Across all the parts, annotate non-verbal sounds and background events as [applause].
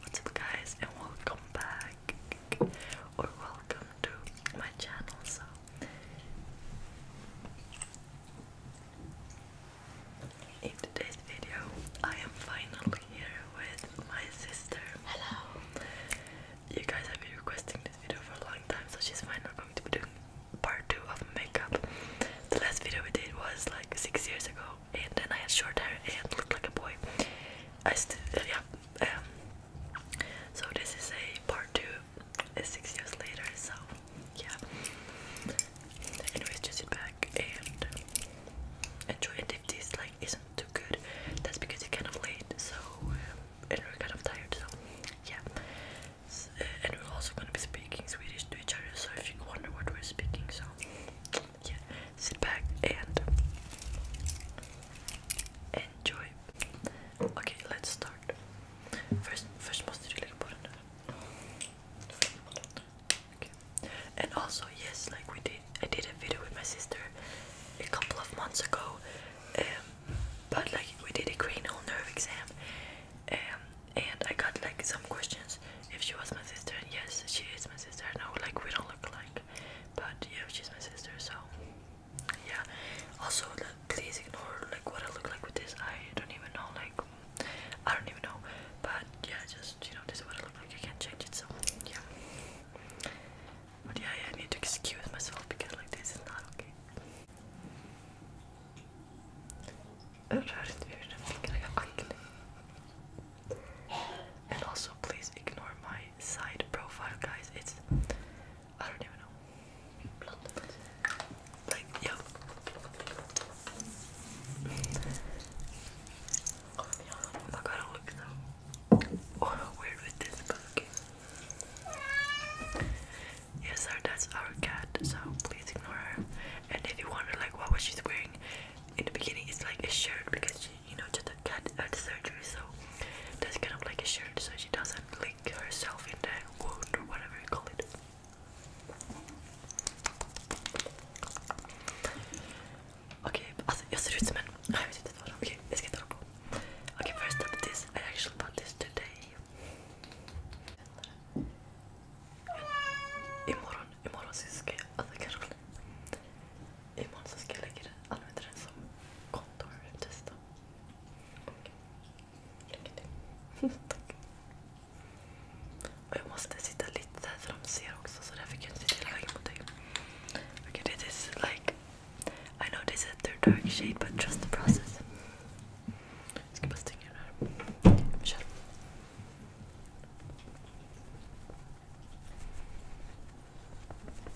What's up guys and welcome back or welcome to my channel in today's video I am finally here with my sister. Hello. You guys have been requesting this video for a long time so she's finally going to be doing part two of makeup. The last video we did was like six years ago and then I had short hair and looked like a boy. I still, yeah. Um, so this is a part two, six years later. So yeah. Anyways, just sit back and enjoy. And if this like isn't too good, that's because you kind of late. So um, and we're kind of tired. So yeah. Uh, and we're also gonna be speaking Swedish to each other. So if you wonder what we're speaking, so yeah, sit back and enjoy. Okay, let's start. First, first must really And also, yes, like we did, I did a video with my sister a couple of months ago. Um, but like we did a cranial nerve exam, um, and I got like some questions if she was my sister yes she is my sister no like we don't look like, but yeah she's my sister so yeah also please ignore like what I look like with this I don't even know like I don't even know but yeah just you know this is what I look like you can't change it so yeah but yeah, yeah I need to excuse myself because like this is not okay and also please ignore my side profile guys. It's I don't even know. Like yo. I gotta look though. Oh weird with this Yes that's our cat, so please ignore her. And if you wonder like what was she wearing in the beginning, it's like a shirt because she, you know, just got had uh, surgery, so that's kind of like a shirt, so she doesn't lick herself in the wound or whatever you call it. okay, alltså jag ser ut som en... okay, jag ska inte hålla på. Okej, okay, first up this. I actually bought this today. Imorgon, imorgon så ska jag, alltså kanske Imorgon så ska jag lägga den, använda den som kontor testa. Lycka till. [laughs] Tack. Och jag måste sitta lite där för de ser också så därför kan jag inte sitta hela vägen mot dig. Okej, det is like, I know this is their dark shade but trust the process. Jag ska bara stänga den här. Kör.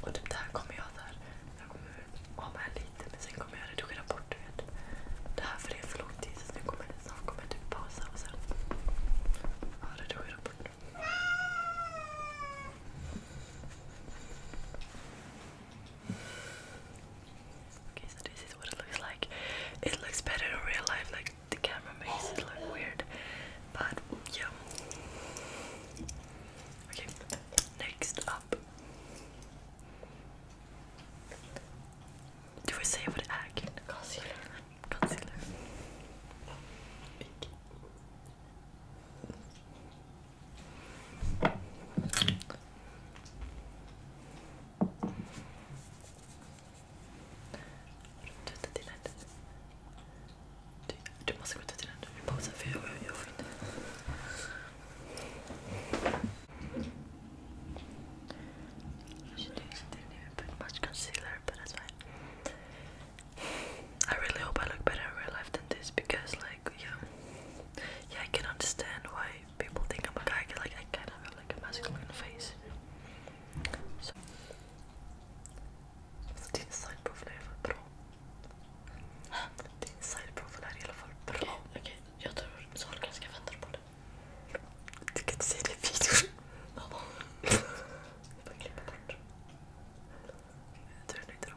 Och det typ, där kommer jag där. Jag kommer ha med lite men sen kommer jag redigera bort det. Det här för det är för lång tid så nu kommer, snart kommer jag typ pausa och sen ja, redigera bort det. Okay, so this is what it looks like. It looks better in real life, like the camera makes it look weird. But yeah. Okay, next up. Do I say what egg? Concealer. Concealer trettionde, du, du måste gå till trettionde i pausen för jag, jag I really hope I look better in real life than this because, like, yeah, yeah, I can understand why people think I'm a guy like I kind of have like a masculine face. So, Of din sideprofiler är för bra. Din [gasps] sideprofiler är i okay, okay. jag tror Sahlgren ska vänta på det. Du kan inte säga det i videon. jag får klippa bort. Jag tror inte de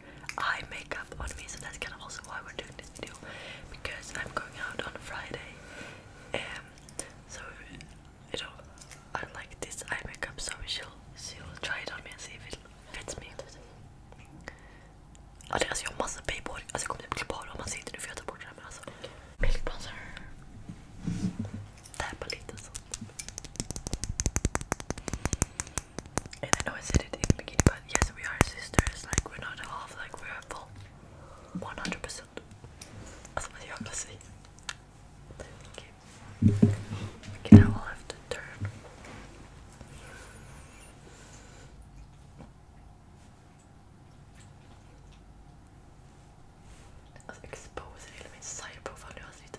eye makeup on me, so that's kind of also why we're doing this video because I'm going out on Friday. Um, so you know, I like this eye makeup, so she'll she'll try it on me and see if it fits me. Alltså jag har massa babyhår, alltså jag kommer typ klippa håret om man ser inte nu för jag tar bort det här men alltså. Milkbronzer. Täpa lite sånt. And I know I said it in the beginning, but yes, we are sisters. Like we're not half, like we're full, one hundred percent. That's what you have to say. Okay. Okay, now I'll have to turn. Alltså exposer hela min cyberprofil nu, alltså det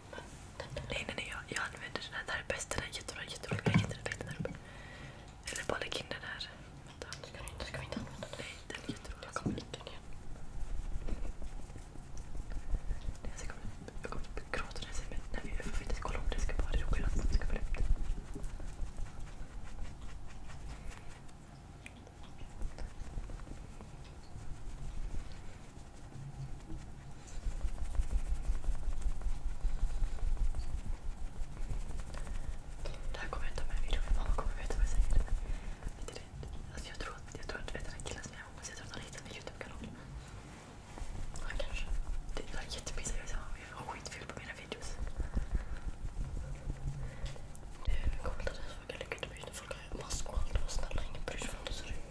Nej, nej, nej. Jag, jag använder den här. Det här är bäst. Den här är jättebra. Jätterolig. Jag hittar effekten här uppe. Eller bara lägg in den här. Vänta. Ska, du inte, ska vi inte använda den? Nej, den är jätterolig. Jag kommer inte ner. Jag kommer, jag kommer gråta när jag säger men nej, jag får inte kolla om det ska vara det roliga som ska vara upp det. Det här kommer jag ta med i videon. Mamma kommer veta vad jag säger. Lite rädd. Alltså jag tror att jag tror att det är den här killen som jag hoppas. Jag tror att han hittar min YouTube-kanal. Ja, kanske. Det är jättepinsamt. Jag har skitfel på mina videos. Det eh, är coolt att jag frågar lycka till när folk har mask och allt. Var snälla, ingen bryr sig om hur det ser ut.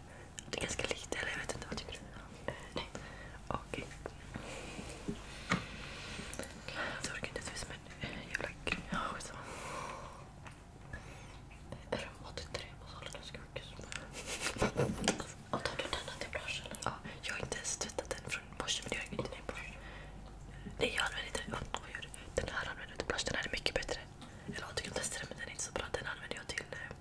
här. Det är ganska lite, eller jag vet inte. Vad tycker du? nej. Okej. Okay. Jag orkar inte se ut som en jävla grym... Ja, skitsamma. Rum 83 på Sahlgrenska sjukhuset. Och tar du denna till blush eller? Ja, jag har inte ens tvättat den från borsten men det gör jag inte. Nej, Porsche. Nej, jag använder inte den. Den här använder jag till blush. Den här är mycket bättre. Eller jag du kan testa den, men den är inte så bra. Den använder jag till... Eh,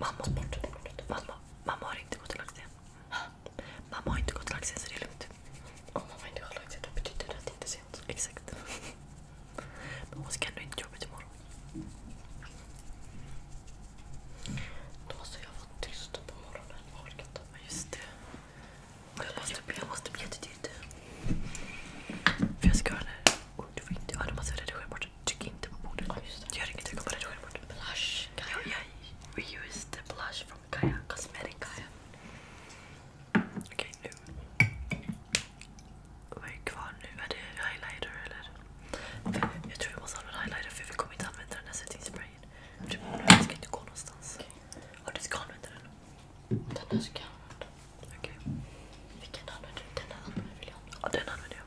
Mamma, bort, mamma, mamma har inte gått till laxen. Mamma har inte gått till laxen så det är lugnt. Om mamma inte har och lagt sig då betyder det att det inte är sent. Exakt. Men hon ska ändå inte jobbet imorgon. Då måste jag vara tyst på morgonen. Jag orkar inte. Just det. Jag måste, jag måste bli jättetydlig. För jag ska ha den här du får inte... du måste redigera bort. Tryck inte på bordet. det. Gör inget, du kommer redigera bort. Blush. Gaia. Jag, jag reused the blush från Gaia Cosmetics. Okej, nu. Vad är kvar nu? Är det highlighter eller? Jag tror jag måste använda highlighter för vi kommer inte använda den här svettingsprayen. Den ska inte gå någonstans. Okay. du ska den. Den här jag använda. Okej. Okay. Vilken använder du? Den här använder jag. Ja, den använder jag.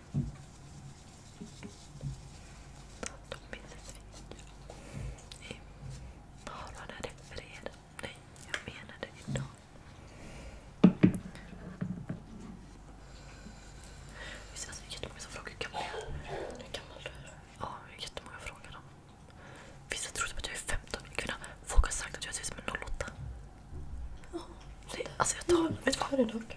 De det jag menade idag. Visst är det jättemånga som frågar hur gammal jag är? Hur gammal du är? Ja, jättemånga frågar dem. Vissa tror typ att jag är 15 Folk har sagt att jag ser ut som en 08. Ja, det, alltså jag tar... Ja, vet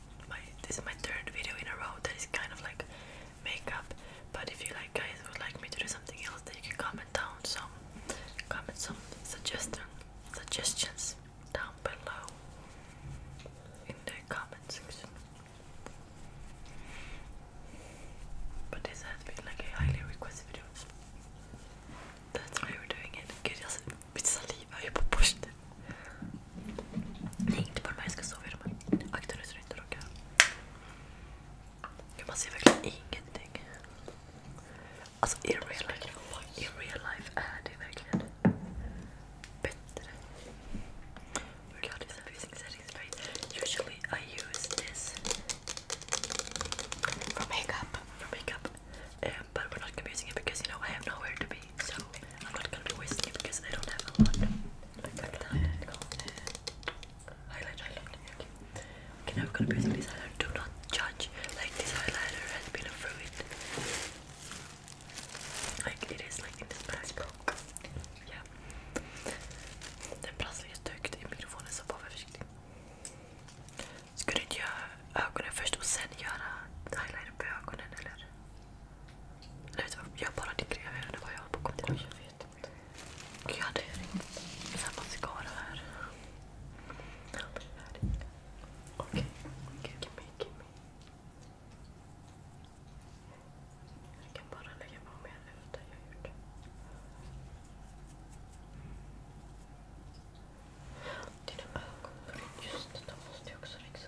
my this is my third video in a row that is kind of like makeup. But if you like guys would like me to do something else, then you can comment down some comment some suggestion suggestions down below in the comment section. But this has been like a highly requested video. That's why we're doing it. Gud, jag vill saliva, jag är på borsten. Nej, inte bara jag ska sova i de här. Akta nu så du inte råkar... Man ser verkligen ingenting. Alltså i real life, i real life är det verkligen bättre. God, is everything settings right? Usually I use this for makeup, for makeup. Um, but we're not gonna be using it because you know I have nowhere to be. So I'm not gonna be wasting it because I don't have a lot like, like Highlight, highlight. Okay, now we're gonna be this highlighter. Do not judge. Like this highlighter has been a fruit. Like it is like in this black book. Ja. Det platsar jättehögt i mikrofonen så var försiktig. Ska du inte göra ögonen först och sen göra highlighter på ögonen eller? Jag bara tycker jag vet inte. Jag hade ringt samma mascara här. Okej. Gimme, gimme. Jag kan bara lägga på mer Dina ögonbryn. Just det, de måste jag också fixa.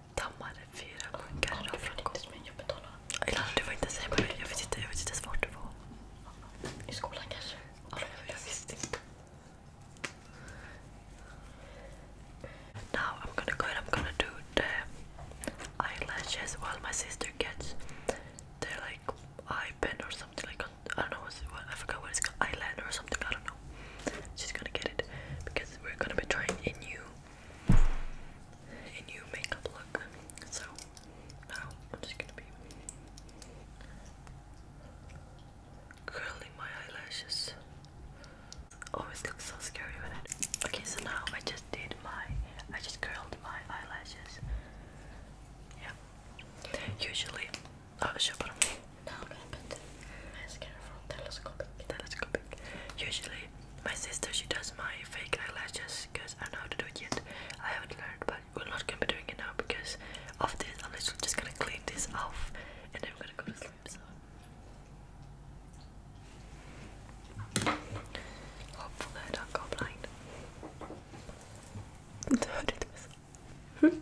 dammade fyra munkar idag frukost. Eller du får inte säga vad det är. Jag vet inte, jag vet inte ens vart det var. I skolan kanske? Ja, jag visste inte. Now I'm gonna go and I'm gonna do the eyelashes while my sister gets the like eye pen or something like I don't know what's, what, I forgot what it's called eyeliner or something I don't know. She's gonna get it because we're gonna be trying a new a new makeup look. So now I'm just gonna be curling my eyelashes. Always looks so scary with it. Okay, so now I just did my, I just curled my eyelashes. Yeah. Usually, oh shit, but I'm now what happened? mascara from Telescopic. Telescopic. Usually, my sister she does my fake eyelashes because I don't know how to do it yet. I haven't learned, but we're not gonna be doing it now because of this. I'm literally just gonna clean this off and then I'm gonna go to sleep. So. Hopefully I don't go blind. I did myself.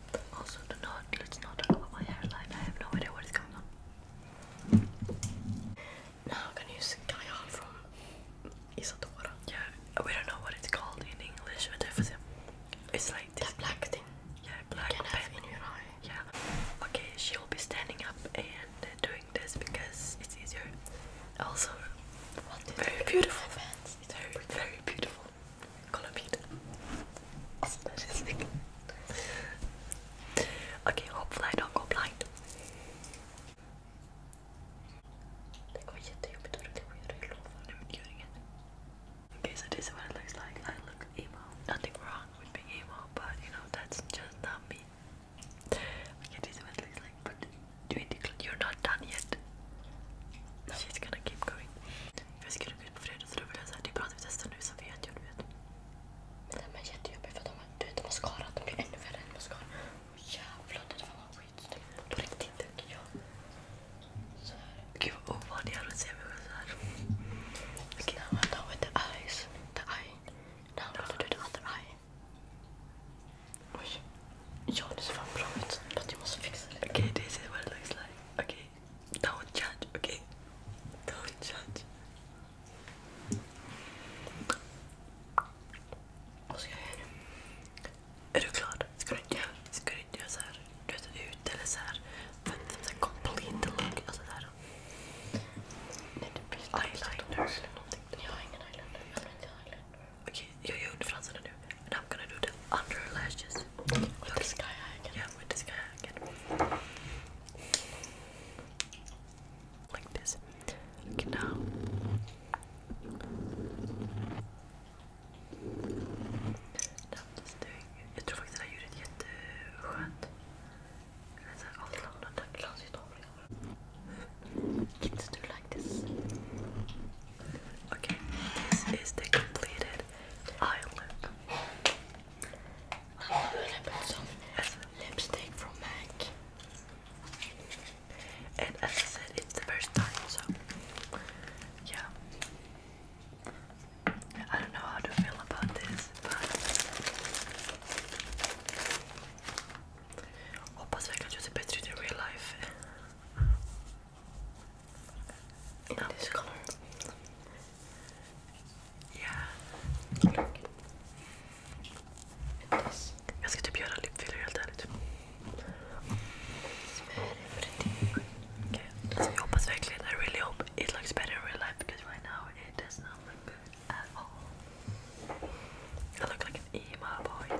Also, do not let's not talk about my hairline. I have no idea what is going on. Now, I'm gonna use Gaia from Isotopora. Yeah, we don't know what it's called in English, but it's like this that black thing. Yeah, black pen. in your eye. Yeah. Okay, she will be standing up and uh, doing this because it's easier. Also, very beautiful. It's very, very beautiful okay, hopefully I don't go blind. Det går jättejobbigt för att jag gör det nu men gör inget. Okay, so this is what it looks like. I look emo. Nothing wrong with being emo, but you know, that's just not me. Okay, this is what it like, but you're not done yet. She's gonna keep going. För jag skulle ut på fredag så då ville jag säga det är bra att vi testar nu så vet jag, du vet. jättejobbigt för de, har skarat, de blir ännu värre jävlar det skitsnyggt. På riktigt Gud vad ovanlig att se mig själv såhär. Now I'm done with the eyes. Now I'm done with the other eye. John is from Providence, but you must fix it. Okay, this is what it looks like. Okay, don't judge, okay? Don't judge. Vad ska jag göra nu? Är du klar? Ska du inte göra, ska du inte göra så här, du vet, ut eller så här? För att så här complete look, alltså där. Nej, det blir eyeliner eller någonting. Jag har ingen eyeliner, jag har inte eyeliner. Okay, you you in front do, and I'm gonna do the under lashes. With the sky again. Yeah, with the sky again. Like this. now. Dat is ding. Ik tror faktiskt att jag like this. Okay, this is the completed eye look. I'm gonna put some lipstick from MAC. And as I said, it's the first time, so yeah. I don't know how to feel about this, but hoppas verkar att jag ser bättre ut i real life. Not this color. Yeah. This. Jag ska typ göra lipfiller helt ärligt. It's very pretty. Okay. So jag hoppas verkligen, I really hope it looks better in real life because right now it does not look good at all. I look like an emo boy.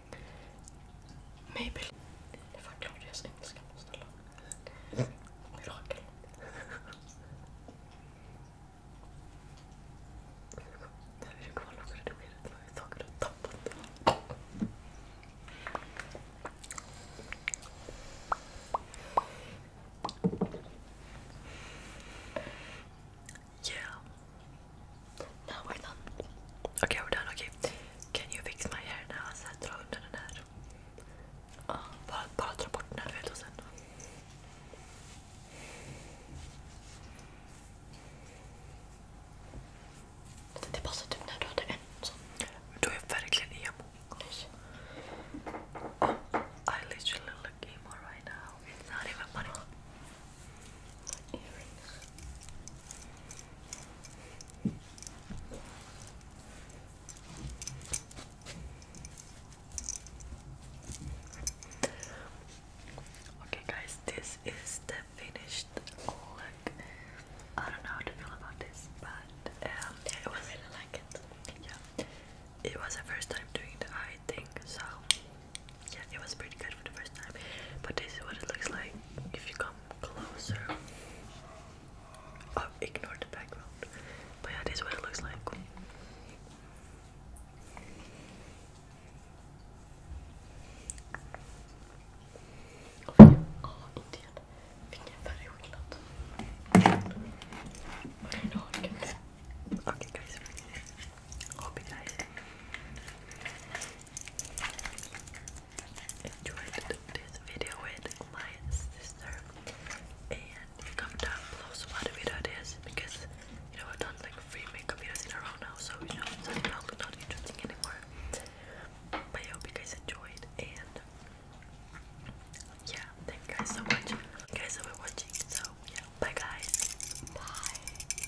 Maybelline. Det var Claudias engelska, snälla. Mirakel. That is cool, I'm gonna do it. I'm talking to top the Yeah. Okay, we're done. Okay. Can you fix my hair now? Sen dra undan den här. Ja, bara, bara dra bort den här rödlosen. Det passar typ när du hade en sån. Då är right now. It's not even funny. Okay, guys, this is the finished look. I don't know how to feel about this, but um, it was, I really like it. Yeah, it was the first time doing the eye thing, so yeah, it was pretty good for the first time. But this is what it looks like if you come closer. Oh, ignore the background. But yeah, this what it looks like. Och vi, ja, inte igen. Vilken färgskillnad. Varje guys. Hope you guys enjoyed this video with my sister and comment down below so what video it is because you know I've done like three makeup videos in a row now so you know it's not interesting anymore but I hope you guys enjoyed and yeah thank you guys so much guys have watching so yeah bye guys bye